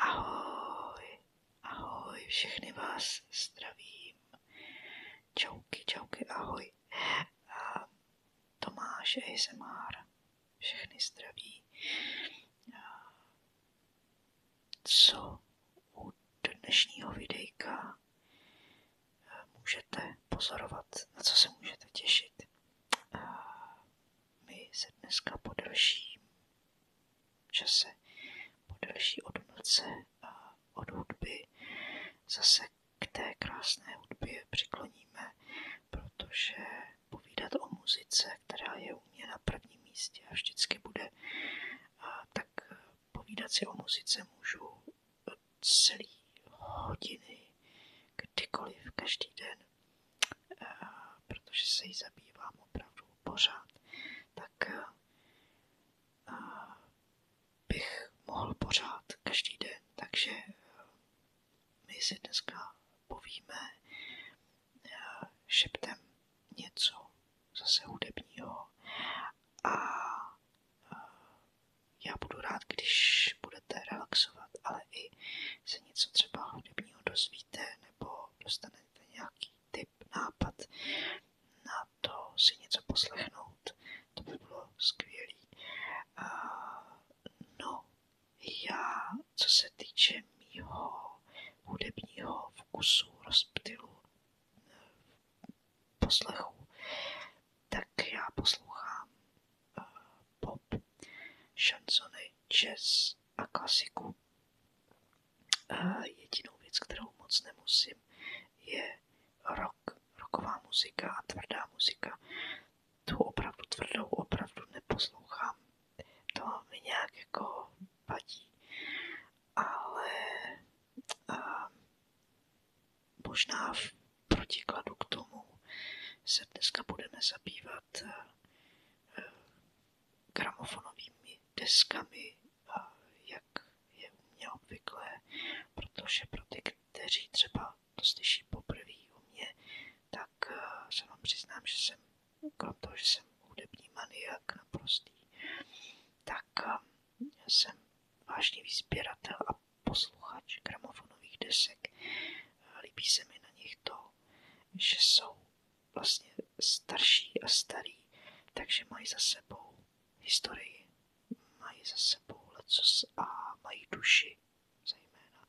Ahoj, ahoj, všechny vás zdravím. Čauky, čauky, ahoj. Eh, a Tomáš ASMR, všechny zdraví. A eh, co u dnešního videjka eh, můžete pozorovat, na co se můžete těšit? my se dneska po delším čase, po delší odmlce a od hudby zase k té krásné hudbě přikloníme, protože povídat o muzice, která je u mě na prvním místě a vždycky bude, a tak povídat si o muzice můžu celý hodiny, kdykoliv, každý den Eh, protože se jí zabývám opravdu pořád, tak eh, bych mohl pořád každý den. Takže eh, my si dneska povíme šeptem něco zase hudebního a já budu rád, když budete relaxovat, ale i se něco třeba hudebního dozvíte nebo nebo dostanete nějaký tip, nápad na to si něco poslechnout. To by bylo skvělý. Uh, no, já, co se týče mýho hudebního vkusu, rozptylu, eh, poslechu, tak já poslouchám uh, pop, šansony, jazz a klasiku. Jedinou věc, kterou moc nemusím, je rock, rocková muzika a tvrdá muzika. Tu opravdu tvrdou opravdu neposlouchám. To mi nějak jako vadí. Ale a, možná v protikladu k tomu se dneska budeme zabývat gramofonovými deskami, jak je u mě obvyklé, protože pro ty, kteří třeba to slyší poprvé u mě, tak eh, se vám přiznám, že jsem, krom toho, že jsem hudební maniak naprostý, tak eh, jsem vážně sběratel a posluchač gramofonových desek. Líbí se mi na nich to, že jsou vlastně starší a starý, takže mají za sebou historii, mají za sebou lecos a mají duši zejména.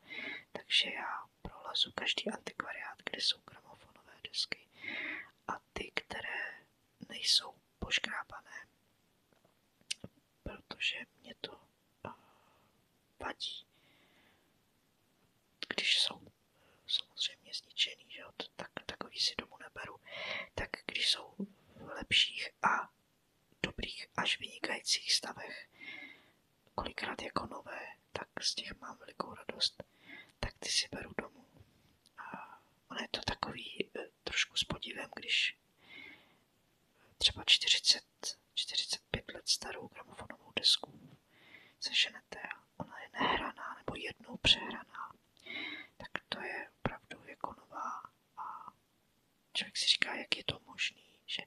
Takže já prolezu každý antikvariát, kde jsou gramofonové desky a ty, které nejsou poškrábané, protože mě to eh, vadí, když jsou samozřejmě zničený, že jo? tak takový si domů neberu, tak když jsou v lepších a dobrých až vynikajících stavech, kolikrát jako nové, tak z těch mám velikou radost, tak ty si beru domů. A ono je to takový e, trošku s podívem, když třeba 40, 45 let starou gramofonovou desku seženou řeknete, je nehraná nebo jednou přehraná, tak to je opravdu jako nová a člověk si říká, jak je to možný, že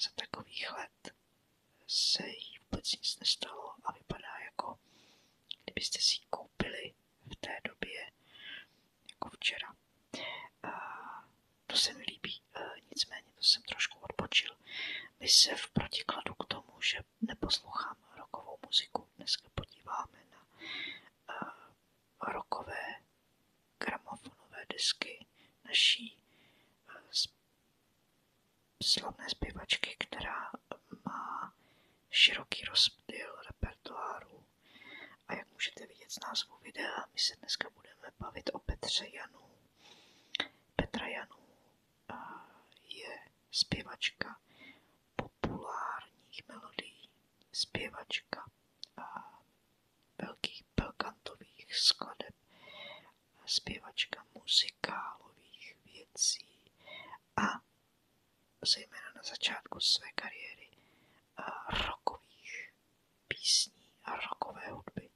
za takových let se jí vůbec nic nestalo a vypadá jako, kdybyste si koupili v té době jako včera. to se mi líbí Eh, nicméně to jsem trošku odbočil. My se v protikladu k tomu, že neposlouchám rokovou muziku, dneska podíváme na eh, rokové gramofonové desky naší eh, slavné zpěvačky, která má široký rozptyl repertoáru. A jak můžete vidět z názvu videa, my se dneska budeme bavit o Petře Janu. Petra Janu je zpěvačka populárních melodií, zpěvačka velkých belkantových skladeb, zpěvačka muzikálových věcí a zejména na začátku své kariéry rockových písní a rockové hudby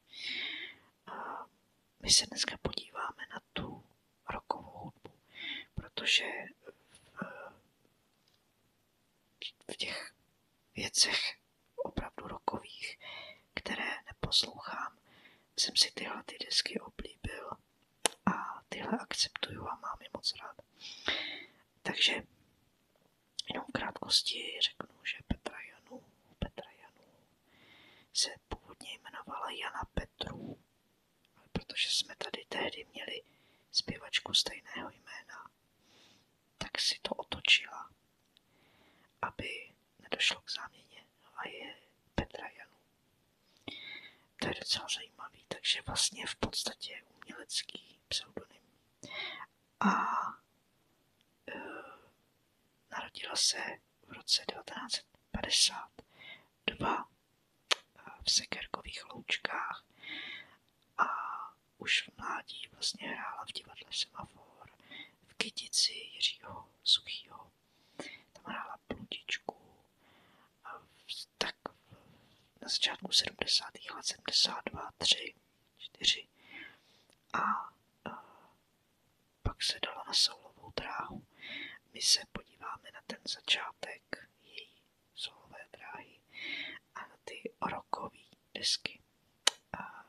my se dneska podíváme na tu rokovou hudbu, protože eh, v těch věcech opravdu rokových, které neposlouchám, jsem si tyhle ty desky oblíbil a tyhle akceptuju a mám je moc rád. Takže jenom v krátkosti řeknu, že Petra Janů, Petra Janů se původně jmenovala Jana Petrů, ale protože jsme tady tehdy měli zpěvačku stejného jména, tak si to otočila, aby nedošlo k záměně a je Petra Janů. To je docela zajímavý, takže vlastně v podstatě umělecký pseudonym. A e, Narodila se v roce 1950. Doba eh, v Sekerkových loučkách a už v mládí vlastně hrála v divadle Semafor, v Kytici Jiřího Suchýho. Tam hrála Pludičku. A tak na začátku 70. let, 72, 3, 4 a eh, pak se dala na solovou dráhu. My se podíváme na ten začátek její soulové dráhy a na ty rokové desky. A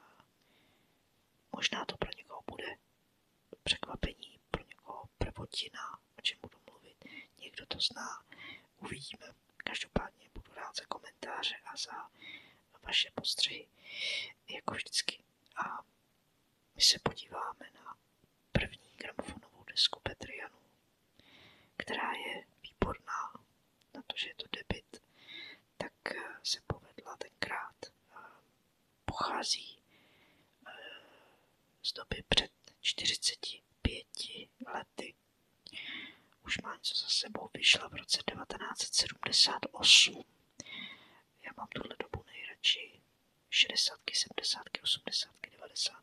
možná to pro někoho bude překvapení, pro někoho prvotina, o čem budu mluvit. Někdo to zná, uvidíme. Každopádně budu rád za komentáře a za vaše postřehy, jako vždycky a my se podíváme na první gramofonovou desku Petrianů, která je výborná na to, že je to debit, tak eh, se povedla tenkrát. Eh, pochází eh, z doby před 45 lety. Už má něco za sebou, vyšla v roce 1978. Já mám tuhle dobu nejradši 60, 70, 80, 90,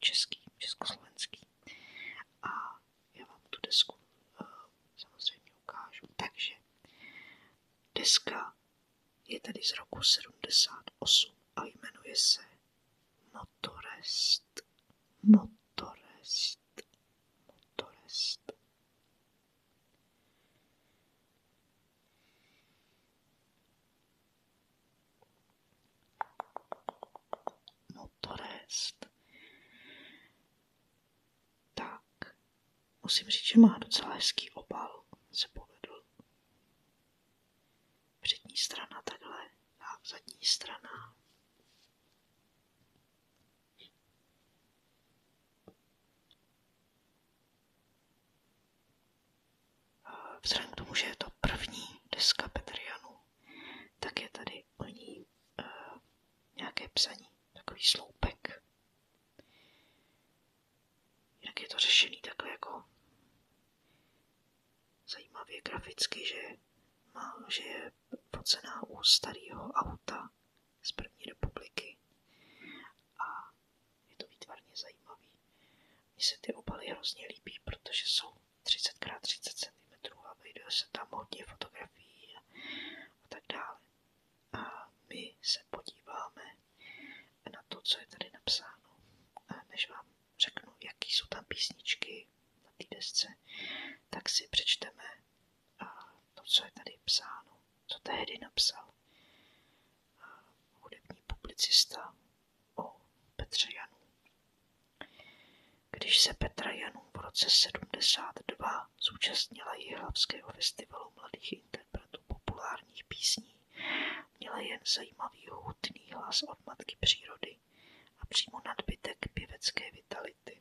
český, československý. A já vám tu desku uh, samozřejmě ukážu. Takže deska je tady z roku 78 a jmenuje se Motorest. Motorest. Motorest. Motorest. Tak, musím říct, že má docela hezký obal, se povedl. Přední strana takhle a zadní strana Vzhledem k tomu, že je to první deska Petrianu, tak je tady o ní e, nějaké psaní, takový sloupek. Jinak je to řešený takhle jako zajímavě graficky, že, má, že je focená u starého auta z první republiky a je to výtvarně zajímavý. Mně se ty obaly hrozně líbí, protože jsou 30x30 cm a vejde se tam hodně fotografií a, a tak dále. A my se podíváme na to, co je tady napsáno, a než vám řeknu, jaký jsou tam písničky na té desce, tak si přečteme a to, co je tady psáno, co tehdy napsal a hudební publicista o Petře Janu. Když se Petra Janů v roce 72 zúčastnila Jihlavského festivalu mladých interpretů populárních písní, měla jen zajímavý hutný hlas od matky přírody a přímo nadbytek pěvecké vitality.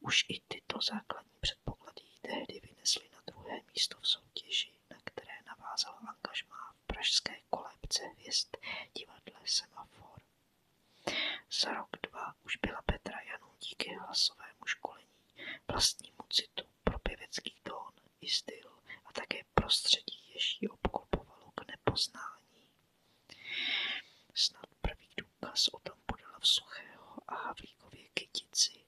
Už i tyto základní předpoklady ji tehdy vynesly na druhé místo v soutěži, na které navázala angažmá v pražské kolébce hvězd divadle Semafor. Za rok dva už byla Petra Janů díky hlasovému školení, vlastnímu citu pro pěvecký tón i styl a také prostředí, ještě ji obklopovalo k nepoznání. Snad první důkaz o tom podala v Suchého a Havlíkově kytici,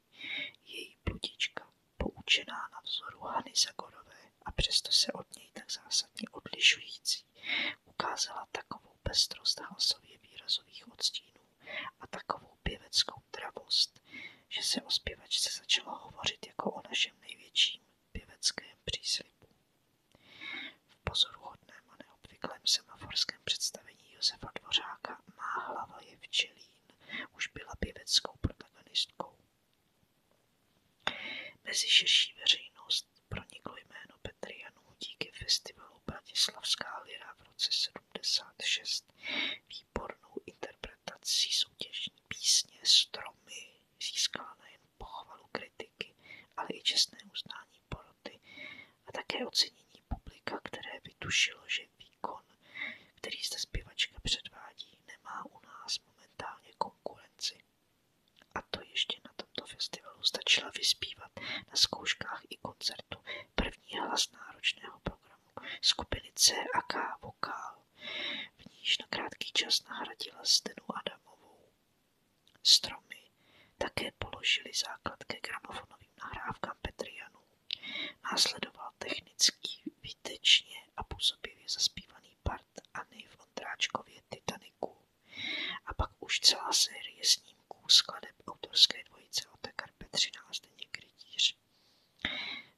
její bludička, poučená na vzoru Zagorové a přesto se od něj tak zásadně odlišující, ukázala takovou pestrost hlasově výrazových odstínů a takovou pěveckou travost, že se o zpěvačce začalo hovořit jako o našem největším pěveckém příslibu. V pozoruhodném a neobvyklém semaforském představení Josefa Dvořáka má hlava je včelín, už byla pěveckou protagonistkou. Mezi širší veřejnost proniklo jméno Petry Janů díky festivalu Bratislavská lira v roce 76 výbornou interpretací soutěžní písně Stromy získala nejen pochvalu kritiky, ale i čestné uznání poroty a také ocenění publika, které vytušilo, že výkon, který zde zpěvačka předvádí, nemá u nás momentálně konkurenci. A to ještě na tomto festivalu stačila vyspívat na zkouškách i koncertu první hlas náročného programu skupiny CAK Vokál, v níž na krátký čas nahradila Stenu Adamovou. Stromy také položili základ ke gramofonovým nahrávkám Petrianu Následoval technicky výtečně a působivě zaspívaný part Anny v Ondráčkově Titaniku a pak už celá série snímků skladeb autorské dvojice Otakar Petřina a Zdeněk Rytíř.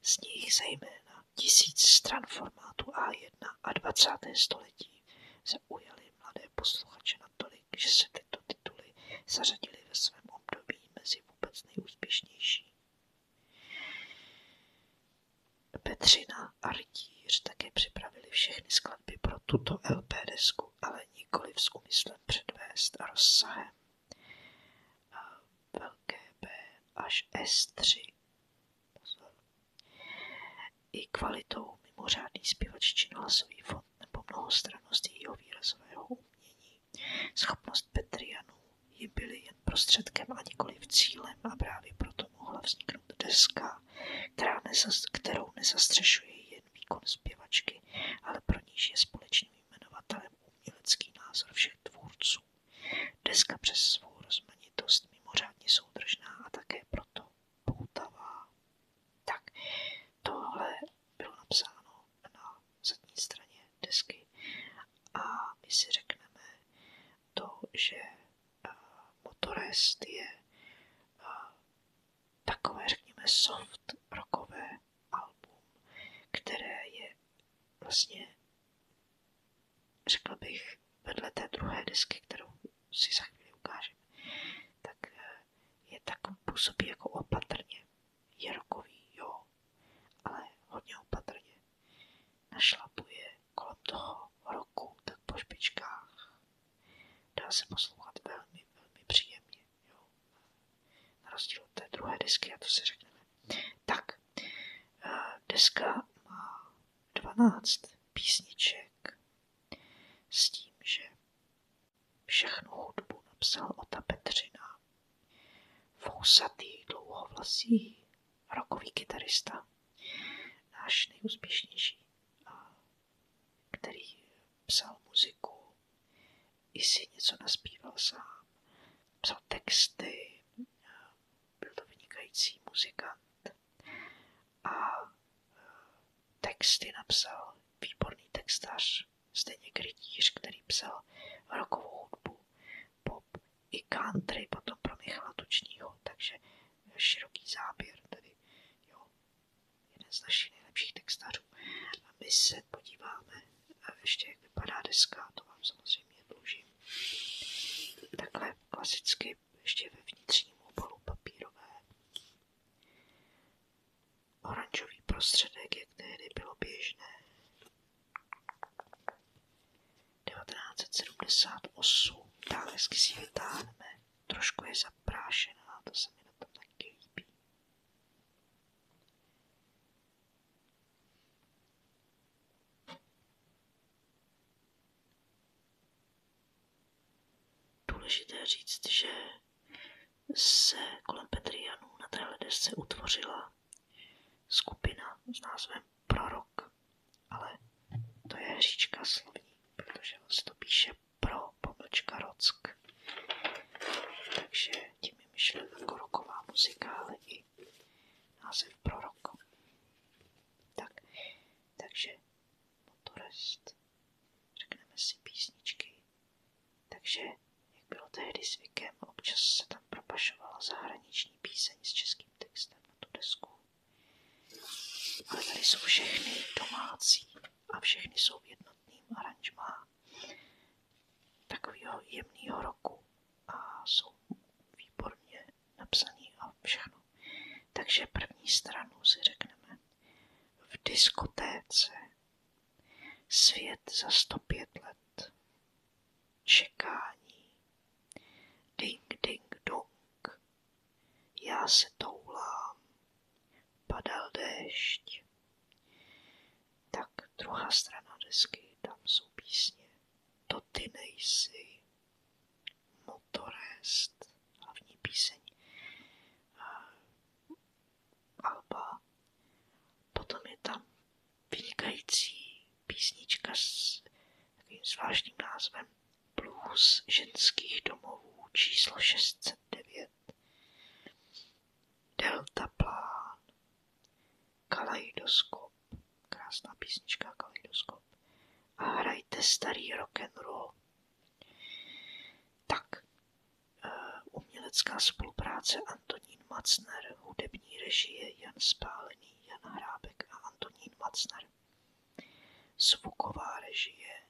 Z nich zejména tisíc stran formátu A1 a 20. století zaujaly mladé posluchače natolik, že se tyto tituly zařadili ve svém období mezi vůbec nejúspěšnější. Petřina a Rytíř také připravili všechny skladby pro tuto LP desku, ale nikoli s úmyslem předvést a rozsahem velké B až S3. I kvalitou mimořádný činila svůj fond nebo mnohostrannost jejího výrazového umění. Schopnost Petrianů ji byly jen prostředkem a nikoli v cílem a právě proto mohla vzniknout deska, která nezas, kterou nezastřešuje jen výkon zpěvačky, ale pro níž je společným jmenovatelem umělecký názor všech tvůrců. Deska přes svou rozmanitost mimořádně soudržná a také proto poutavá. Tak, tohle bylo napsáno na zadní straně desky a my si řekneme to, že eh, Motorest je eh, takové, řekněme, soft rockové album, které je vlastně, řekl bych, vedle té druhé desky, kterou si za chvíli ukážeme, tak eh, je tak působí jako opatrně. Jirkový, jo, ale hodně opatrně. Našlapuje kolem toho roku tak po špičkách. Dá se poslouchat velmi, velmi příjemně, jo. Na rozdíl od té druhé desky, a to si řekneme. Tak, eh, deska má 12 písniček s tím, že Všechnu hudbu napsal Ota Petřina. Fousatý, dlouhovlasý, rokový kytarista. Náš nejúspěšnější, který psal muziku, i si něco naspíval sám. Psal texty, byl to vynikající muzikant. A e, texty napsal výborný textař Zdeněk Rytíř, který psal rokovou hudbu, pop i country, potom pro Michala Tučního, takže široký záběr, Tady jo, jeden z našich nejlepších textařů. A my se podíváme a ještě, jak vypadá deska, to vám samozřejmě dlužím. Takhle klasicky ještě ve vnitřním obalu papírové Oranžový prostředek, jak tehdy bylo běžné. 1978. Táhezky si vytáhneme. Trošku je zaprášená, to se mi na tom taky líbí. Důležité říct, že se kolem Petrianů na téhle desce utvořila skupina s názvem Prorok, ale to je hříčka slovní, protože on se to píše pro pomlčka rock. Takže tím je myšlena jako roková muzika, ale i název Prorok. Tak, takže motorist řekneme si písničky. Takže, jak bylo tehdy zvykem, občas se tam propašovala zahraniční píseň s českým textem na tu desku. Ale tady jsou všechny domácí a všechny jsou v jednotným aranžmá takového jemného roku a jsou výborně napsaný a všechno. Takže první stranu si řekneme v diskotéce Svět za sto pět let. Čekání. Ding, ding, dong. Já se toulám. Padal déšť. Tak druhá strana desky, tam jsou písně. To ty nejsi. Motorest. Hlavní píseň alba. Potom je tam vynikající písnička s takovým zvláštním názvem Blues ženských domovů číslo 609. Delta plán. Kaleidoskop. Krásná písnička Kaleidoskop. A hrajte starý rock and roll. Tak, umělecká spolupráce Antonín Macner, hudební režie Jan Spálený, Jan Hrábek a Antonín Macner, zvuková režie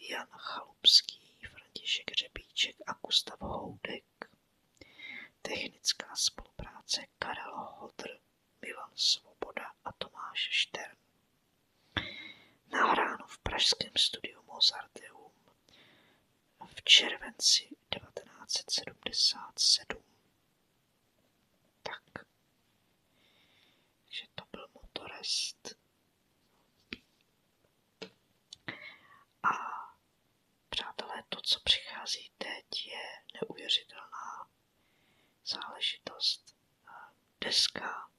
Jan Chalupský, František Řebíček a Gustav Houdek, technická spolupráce Karel Hodr, Milan Svoboda a Tomáš Štern. Nahráno v pražském studiu Mozarteum v červenci 1977. Tak, že to byl motorest. A přátelé, to, co přichází teď, je neuvěřitelná záležitost. Eh, deska,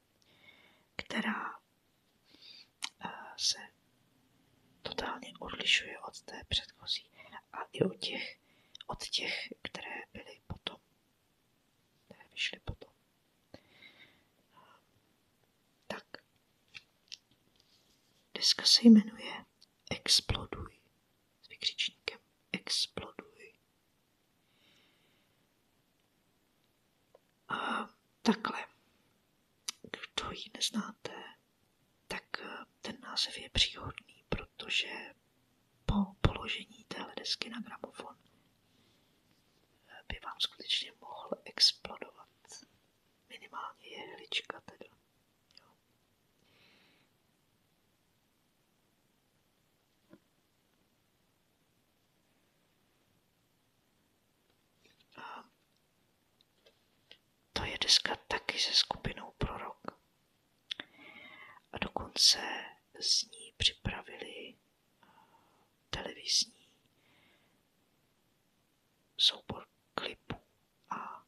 která se totálně odlišuje od té předchozí a i od těch, od těch které byly potom, které vyšly potom. Tak, deska se jmenuje Exploduj s vykřičníkem Exploduj. Takhle. Kdo ji neznáte, tak eh, ten název je příhodný, protože po položení téhle desky na gramofon eh, by vám skutečně mohl explodovat. Minimálně jehlička teda to je deska taky se skupinou Prorok. A dokonce z ní připravili eh, televizní soubor klipů a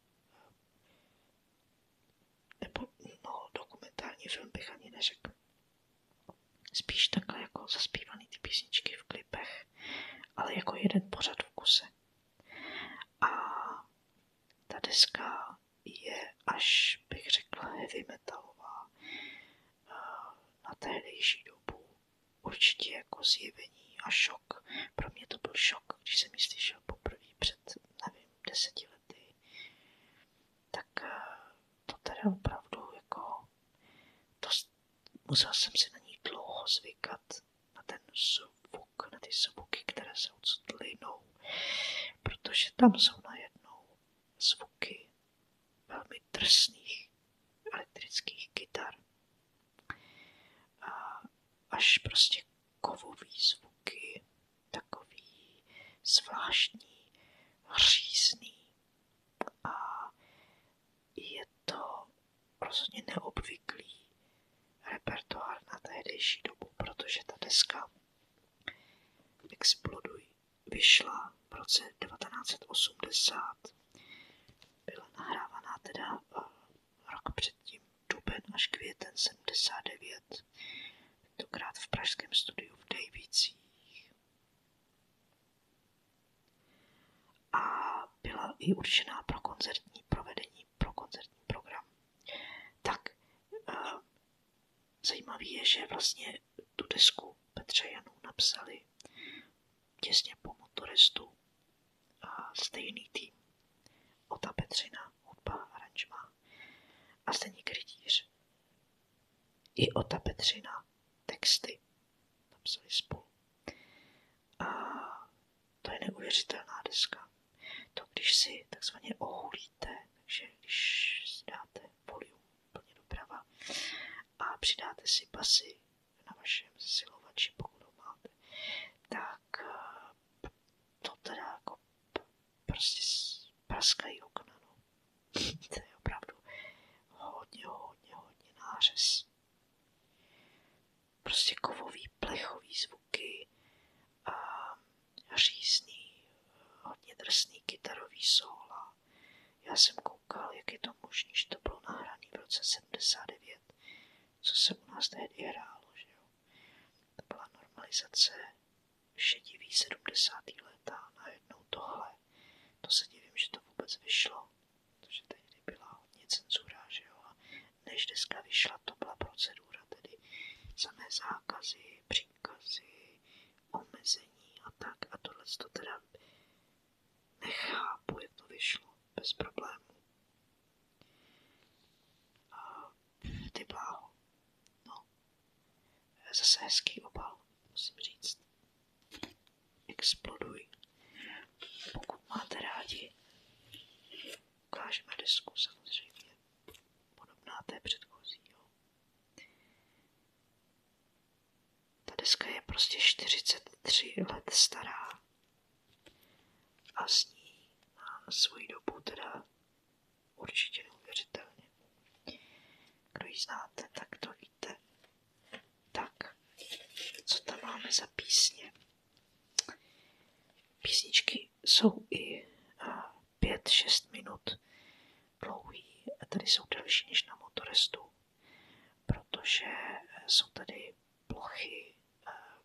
nebo no, dokumentární film bych ani neřekl. Spíš takhle jako zaspívaný ty písničky v klipu klipech, ale jako jeden pořad v kuse. A ta deska je až, bych řekla, heavy metalová eh, na tehdejší dobu. Určitě jako zjevení a šok. Pro mě to byl šok, když jsem ji slyšel poprvé před, nevím, deseti lety. Tak eh, to teda opravdu jako to, musel jsem si na ní dlouho zvykat, na ten zvuk, na ty zvuky, které se odsud protože tam jsou najednou zvuky velmi drsných elektrických kytar. A až prostě kovový zvuky, takový zvláštní, hřízný je to rozhodně neobvyklý repertoár na tehdejší dobu, protože ta deska Exploduj vyšla v roce 1980. Byla nahrávaná teda eh, rok předtím, duben až květen 79, tentokrát v pražském studiu v Dejvicích a byla i určená pro koncertní provedení, pro koncertní program. Tak eh, zajímavé je, že vlastně tu desku Petře Janů napsali těsně po motoristu a stejný tým. Ota Petřina, hudba, aranžma a stejný Rytíř. I Ota Petřina, texty tam psali spolu. A to je neuvěřitelná deska. To, když si takzvaně ohulíte, takže když si dáte volium plně doprava a přidáte si pasy na vašem zesilovači, pokud ho máte, tak eh, to teda jako prostě praskají okna. No. to je opravdu hodně, hodně, hodně nářez. Prostě kovový, plechový zvuky a řízný, hodně drsný kytarový sóla. Já jsem koukal, jak je to možné, že to bylo nahrané v roce 79, co se u nás tehdy hrálo, že To byla normalizace šedivý 70. léta a najednou tohle. To se divím, že to vůbec vyšlo protože tehdy byla hodně cenzura, že jo, a než deska vyšla, to byla procedura, tedy samé zákazy, příkazy, omezení a tak, a tohle to teda nechápu, jak to vyšlo, bez problémů. ty bláho, no, zase hezký obal, musím říct. Exploduj. Pokud máte rádi, ukážeme desku samozřejmě. Podobná té předchozí. Ta deska je prostě 43 let stará a s ní mám svoji dobu teda určitě neuvěřitelně. Kdo ji znáte, tak to víte. Tak, co tam máme za písně? Písničky jsou i 5-6 minut dlouhý, a tady jsou delší než na motorestu, protože jsou tady plochy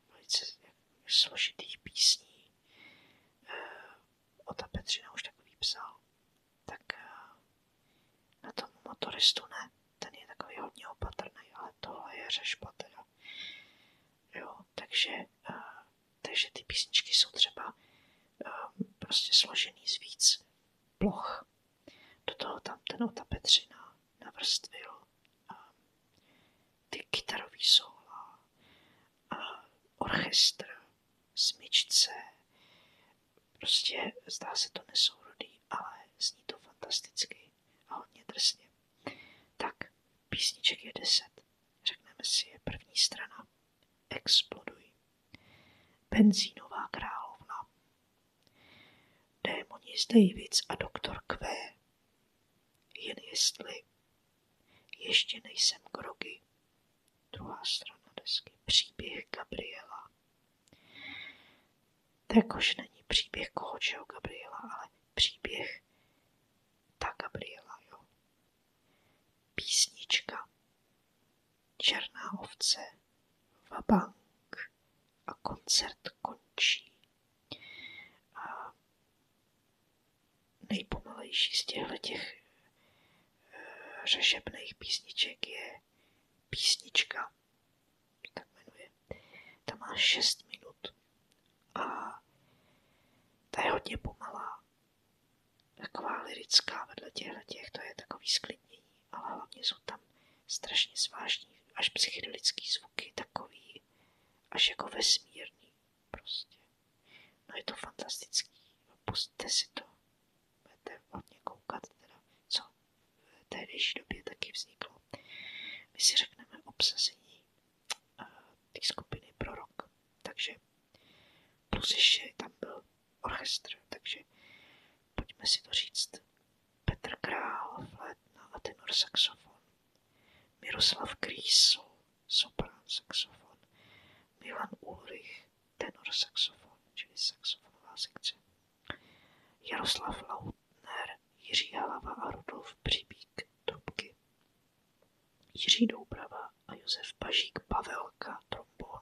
velice složitých písní. Ota ta Petřina už takový psal. Tak na tom motoristu ne, ten je takový hodně opatrný, ale tohle je řešba teda. Jo, takže, uh, takže ty písničky jsou třeba uh, prostě složený z víc ploch. Do toho tam ten Ota Petřina navrstvil um, ty kytarový sola, uh, orchestr, smyčce, Prostě zdá se to nesourodý, ale zní to fantasticky a hodně drsně. Tak, písniček je deset. Řekneme si je první strana. Exploduj. Benzínová královna. Démoni z Davids a doktor Q. Jen jestli. Ještě nejsem grogy. Druhá strana desky. Příběh Gabriela. Tak už není příběh kohočeho Gabriela, ale příběh ta Gabriela, jo. Písnička, černá ovce, vabank a koncert končí. A nejpomalejší z těchto těch eh, řešebných písniček je písnička se jmenuje, ta má 6 minut a ta je hodně pomalá, taková lirická vedle těchto těch, to je takový sklidnění, ale hlavně jsou tam strašně zvláštní, až psychedelický zvuky, takový až jako vesmírný prostě. No je to fantastický, pustíte si to, budete hodně koukat teda, co v tehdejší době taky vzniklo. My si řekneme obsazení eh, té skupiny pro rok. Takže plus ještě tam byl orchestr, takže pojďme si to říct. Petr Král, flétna a tenor saxofon. Miroslav Krýsl, soprán saxofon. Milan Ulrich, tenor saxofon, čili saxofonová sekce. Jaroslav Lautner, Jiří Halava a Rudolf Přibík trubky. Jiří Doubrava a Josef Pažík Pavelka trombon.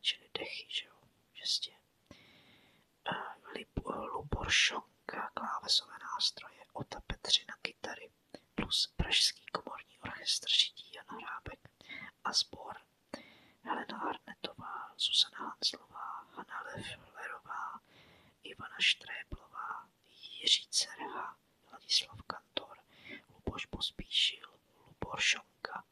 Čili dechy, že jo, žestě. Lubor klávesové nástroje, Ota Petřina, kytary, plus Pražský komorní orchestr žití Jan Hrábek a sbor Helena Arnetová, Zuzana Hanslová, Hanna Leflerová, Ivana Štréblová, Jiří Cerha, Ladislav Kantor, Luboš Pospíšil, Lubor Šonka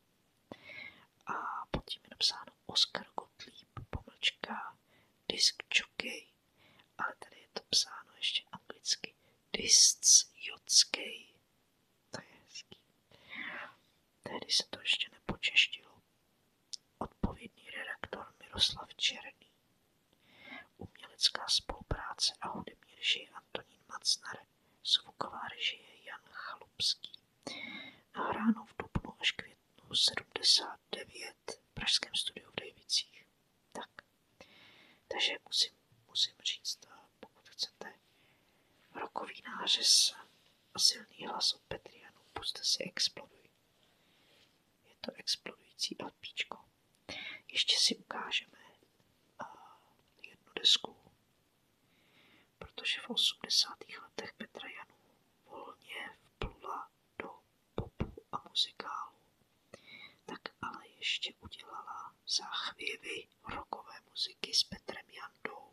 a pod tím je napsáno Oskar Gottlieb, pomlčka, disk jockey, ale tady je to psáno ještě anglicky disc jockey. Tehdy se to ještě nepočeštilo. Odpovědný redaktor Miroslav Černý, umělecká spolupráce a hudební režie Antonín Macnar, zvuková režie Jan Chalupský. Nahráno v dubnu až květnu 79 v pražském studiu v Dejvicích. Tak, takže musím, musím říct, eh, pokud chcete Rokový nářez a silný hlas od Petrianu. Puste si exploduj. Je to explodující LPčko. Ještě si ukážeme eh, jednu desku, protože v 80. letech Petra Janů volně vplula do popu a muzikálu. Tak ale ještě udělala záchvěvy rokové muziky s Petrem Jandou.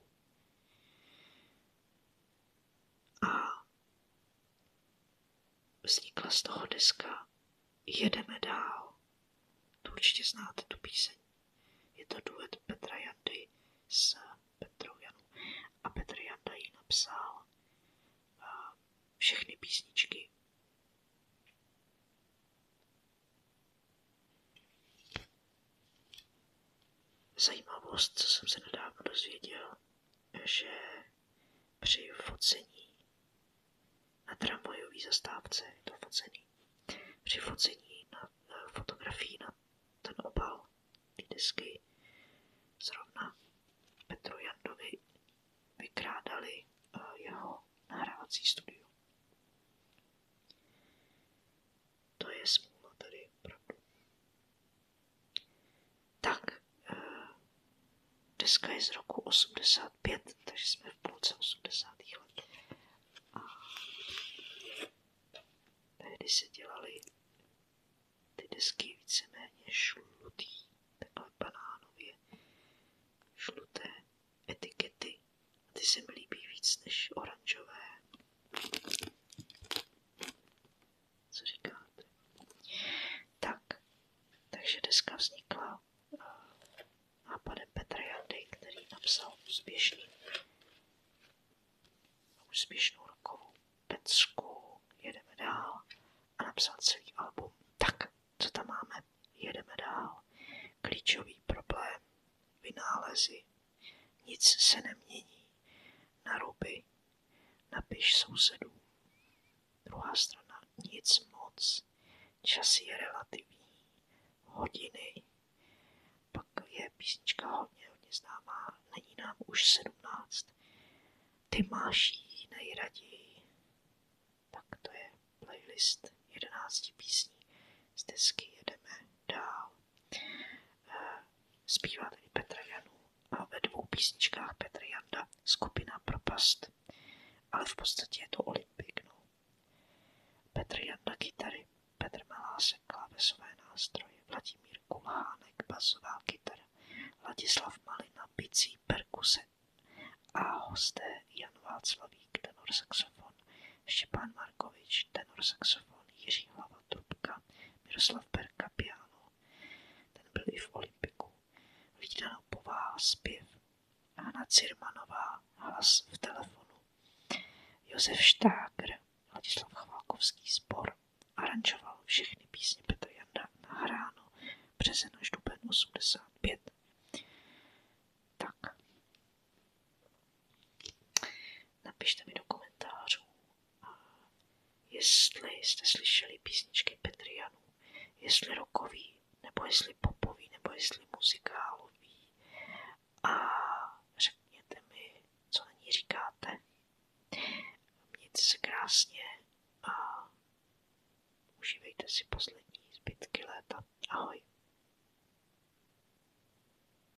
A vznikla z toho deska Jedeme dál. Tu určitě znáte tu píseň. Je to duet Petra Jandy s Petrou Janou. A Petr Janda jí napsal eh, všechny písničky. Zajímavost, co jsem se nedávno dozvěděl, že při focení na tramvajové zastávce je to focený. Při focení na, na fotografii na ten obal ty desky zrovna Petru Jandovi vykrádali eh, jeho nahrávací studio. To je smůla tady, opravdu. Tak, eh, deska je z roku 85, takže jsme v půlce 80. let. A tehdy se dělaly ty desky víceméně šlutý, takhle banánově šluté etikety. A ty se mi líbí víc než oranžové co říkáte? Tak, takže deska vznikla eh, nápadem Petra Jandy, který napsal úspěšný, úspěšnou rokovou pecku Jedeme dál a napsal celý album. Tak, co tam máme? Jedeme dál. Klíčový problém, vynálezy, nic se nemění. Naruby. Napiš sousedům. Druhá strana. Nic moc. Čas je relativní. Hodiny. Pak je písnička hodně, hodně známá. Není nám už sedmnáct. Ty máš ji nejraději. Tak to je playlist jedenácti písní. Z desky jedeme dál. Eh, zpívá tedy Petr Janů a ve dvou písničkách Petr Janda skupina Propast, ale v podstatě je to Olympik. No. Petr Janda kytary, Petr Malásek klávesové nástroje, Vladimír Kulhánek basová kytara, Vladislav Malina bicí perkuse a hosté Jan Václavík tenor saxofon, Štěpán Markovič, tenor saxofon, Jiří Hlava trubka, Miroslav Berka piano. Ten byl i v Olympiku. Vídanou pováha zpěv. Anna Cirmanová, hlas v telefonu. Josef Štágr, Ladislav Chvalkovský sbor. Aranžoval všechny písně Petra Janda nahráno březen až duben 85. Tak, napište mi do komentářů, jestli jste slyšeli písničky Petrianů, jestli rokový, nebo jestli popový, nebo jestli muzikálový. A řekněte mi, co na ní říkáte. Mějte se krásně a užívejte si poslední zbytky léta. Ahoj.